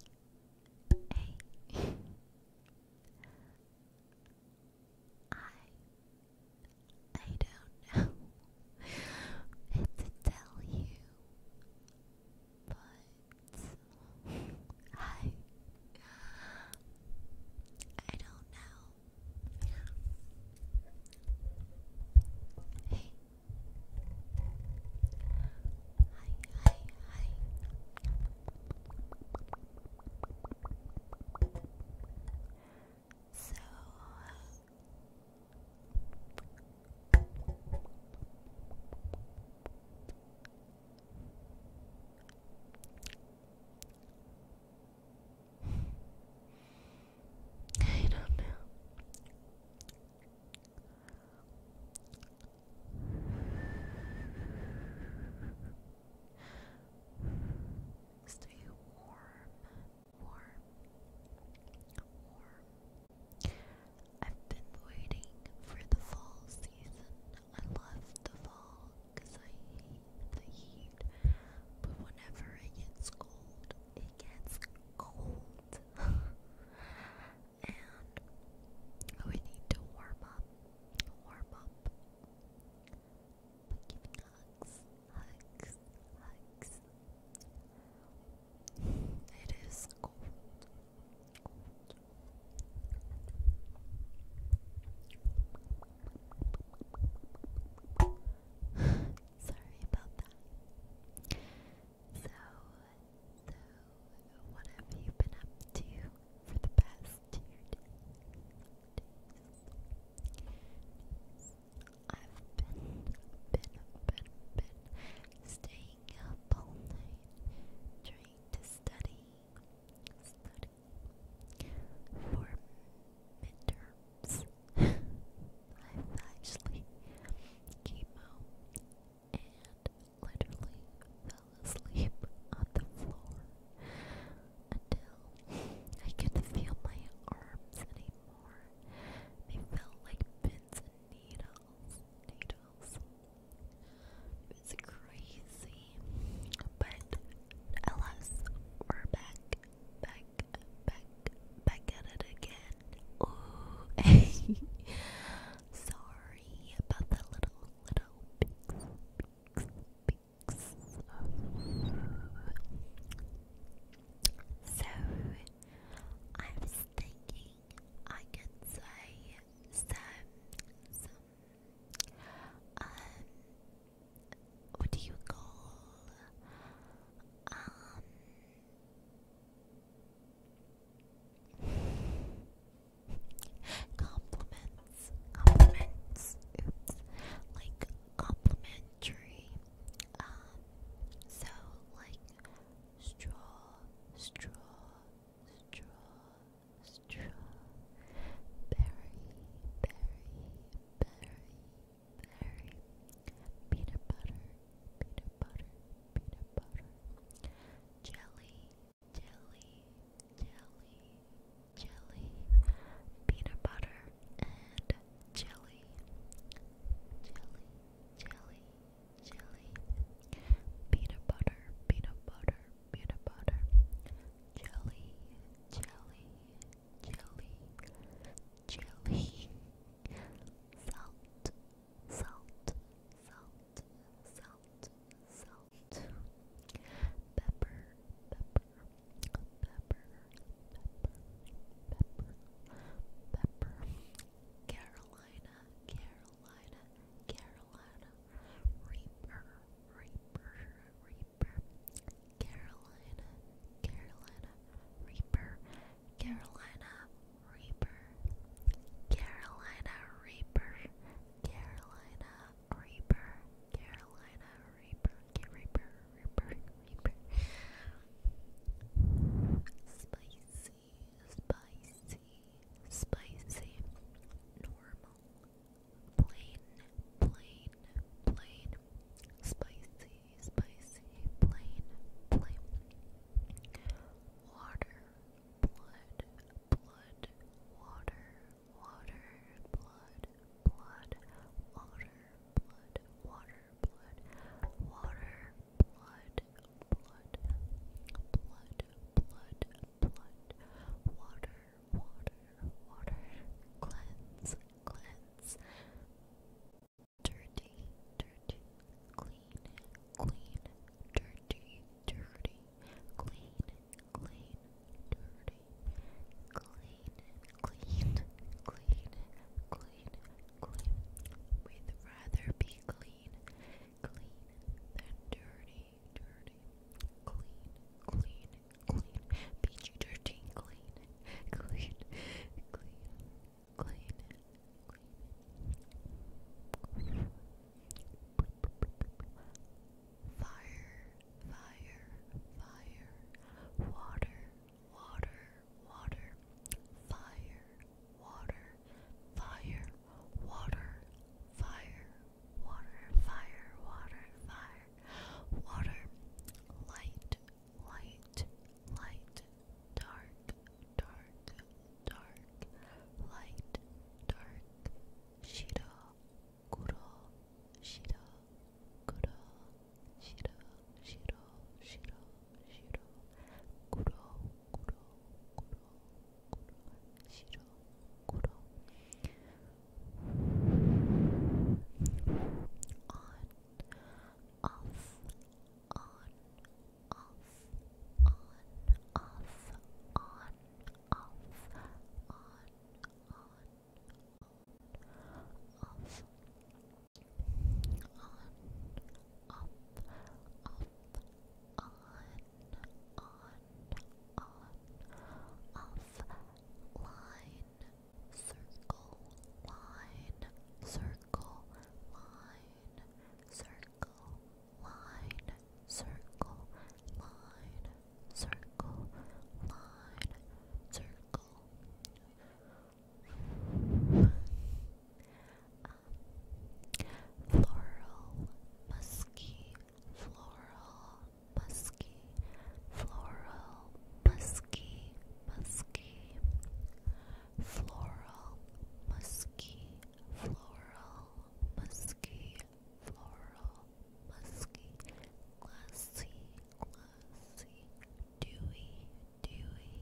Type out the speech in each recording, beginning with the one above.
A I I don't know what to tell you, but I I don't know hi, hi. So, I don't know. Stay warm, warm, warm. I've been waiting for the fall season. I love the fall I hate the heat. But whenever it gets cold, it gets cold. and we need to warm up, warm up by hugs, hugs, hugs. It is cold. cold. Sorry about that. So, so, what have you been up to for the past two days? I've been, been, been, been staying up all night trying to study, study for midterms. I've actually came and literally fell asleep on the floor until I could feel my arms anymore. They felt like pins and Needles. It's crazy. But alas, we're back, back, back, back at it again. Ooh. Sorry worry about the little, little peaks, peaks, So, I was thinking I could say some, um, what do you call, um, Compliments, compliments, like complimentary. Um, so like straw, straw, straw, straw, berry, berry, berry, berry, peanut butter, peanut butter, peanut butter, jelly, jelly, jelly, jelly, peanut butter and jelly, jelly, jelly, jelly, peanut butter, peanut butter, peanut butter, jelly, jelly, jelly, jelly, salt, salt, salt, salt, salt, pepper, pepper, pepper, pepper, pepper, pepper, Carolina, Carolina, Carolina, Reaper, Reaper, Reaper, Carolina, Carolina, Reaper, Carolina. Reaper, Carolina Reaper, Carolina Reaper, Carolina Reaper, Reaper, Reaper, Reaper. Spicy, spicy, spicy, normal, plain, plain, plain, spicy, spicy, plain, plain. Water, blood, blood, water, water, blood, blood, water, blood, water, blood, water, blood, blood, blood, blood, blood, water, water, water, cleanse, cleanse, dirty, dirty, clean clean, dirty, dirty, clean, clean, dirty, clean, clean, clean, clean, clean. We'd rather be clean, clean than dirty, dirty, clean, clean, clean, peachy dirty, clean, clean, clean, clean. Clean. Fire, fire, fire. Water, water, water. Fire, water, fire, water, fire, water, fire, water, fire. Water, light, light, light, dark, dark, dark, light, dark, shiro, kuro, shiro, kuro, shiro, shiro, shiro, shiro, kuro, kuro, kuro, kuro, shiro, kuro. On, off, on, off, on, off, on, off, on, on, off. On, up, up, on, on, off, line, circle, line, circle, line, circle, circle, line, circle, line, circle, line, um, circle. floral, musky, floral, musky, floral, musky, musky, floral, musky, floral, musky, floral, musky, glassy, glassy, dewy, dewy,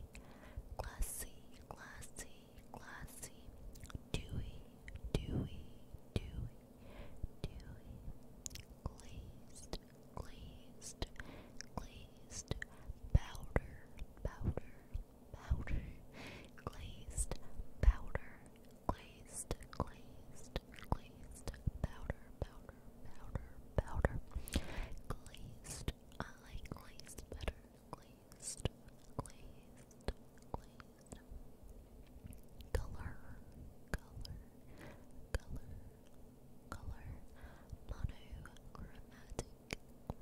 glassy, glassy, glassy, dewy, dewy, dewy, dewy, glazed, glazed, glazed, powder, powder, powder, glazed powder, glazed, glazed, glazed powder, powder, powder, powder, glazed. I like glazed better. Glazed, glazed, glazed. Color, color, color, color. Monochromatic,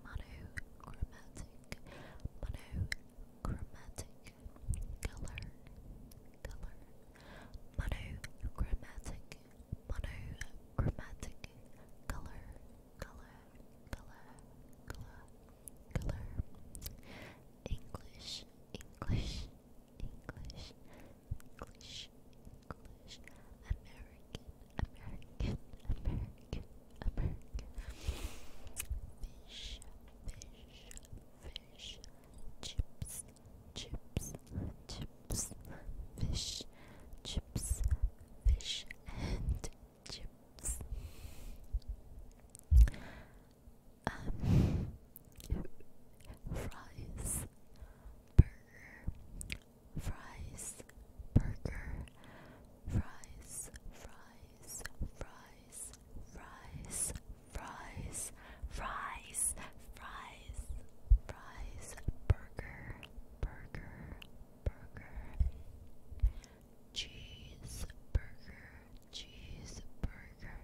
monochromatic, monochromatic chromatic color color monochromatic monochromatic color color color color English English English English English American American American America. Fish, fish, fish. Chips, chips, chips. Fish, chips, fish, and chips. fries, burger, fries, burger, fries, fries fries, fries, fries, fries, fries, fries, burger, burger, burger, cheese, burger, cheese, burger,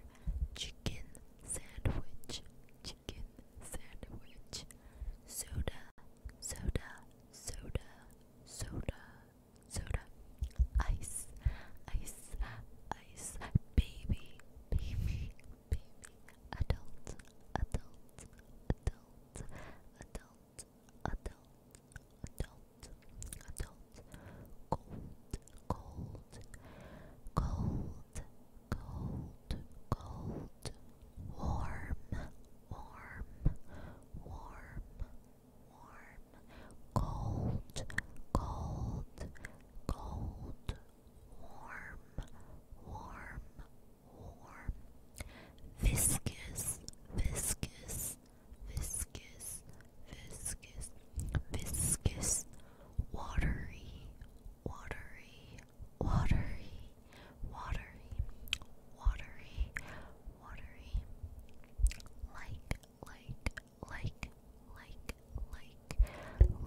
chicken sandwich, chicken sandwich, soda, soda, soda, soda soda, ice, ice, ice, baby, baby, baby, adult, adult, adult, adult, adult, adult, adult, cold, cold, cold, cold, cold, warm, warm, warm. Warm, warm, cold, cold, cold, warm, warm, warm, viscous, viscous, viscous, viscous, viscous, watery, watery, watery, watery, watery, like, like, like, like, like,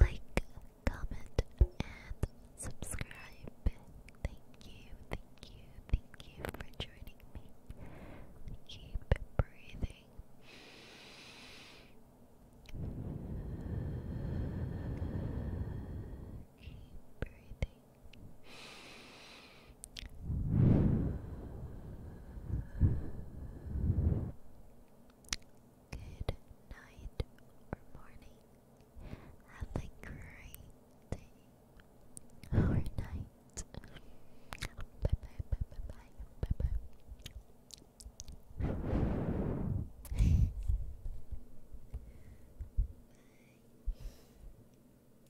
like, comment, and subscribe. Thank you, thank you, thank you for joining me. Keep breathing. Keep breathing. Good night or morning. Have a great day or night. Bye bye bye bye bye bye bye.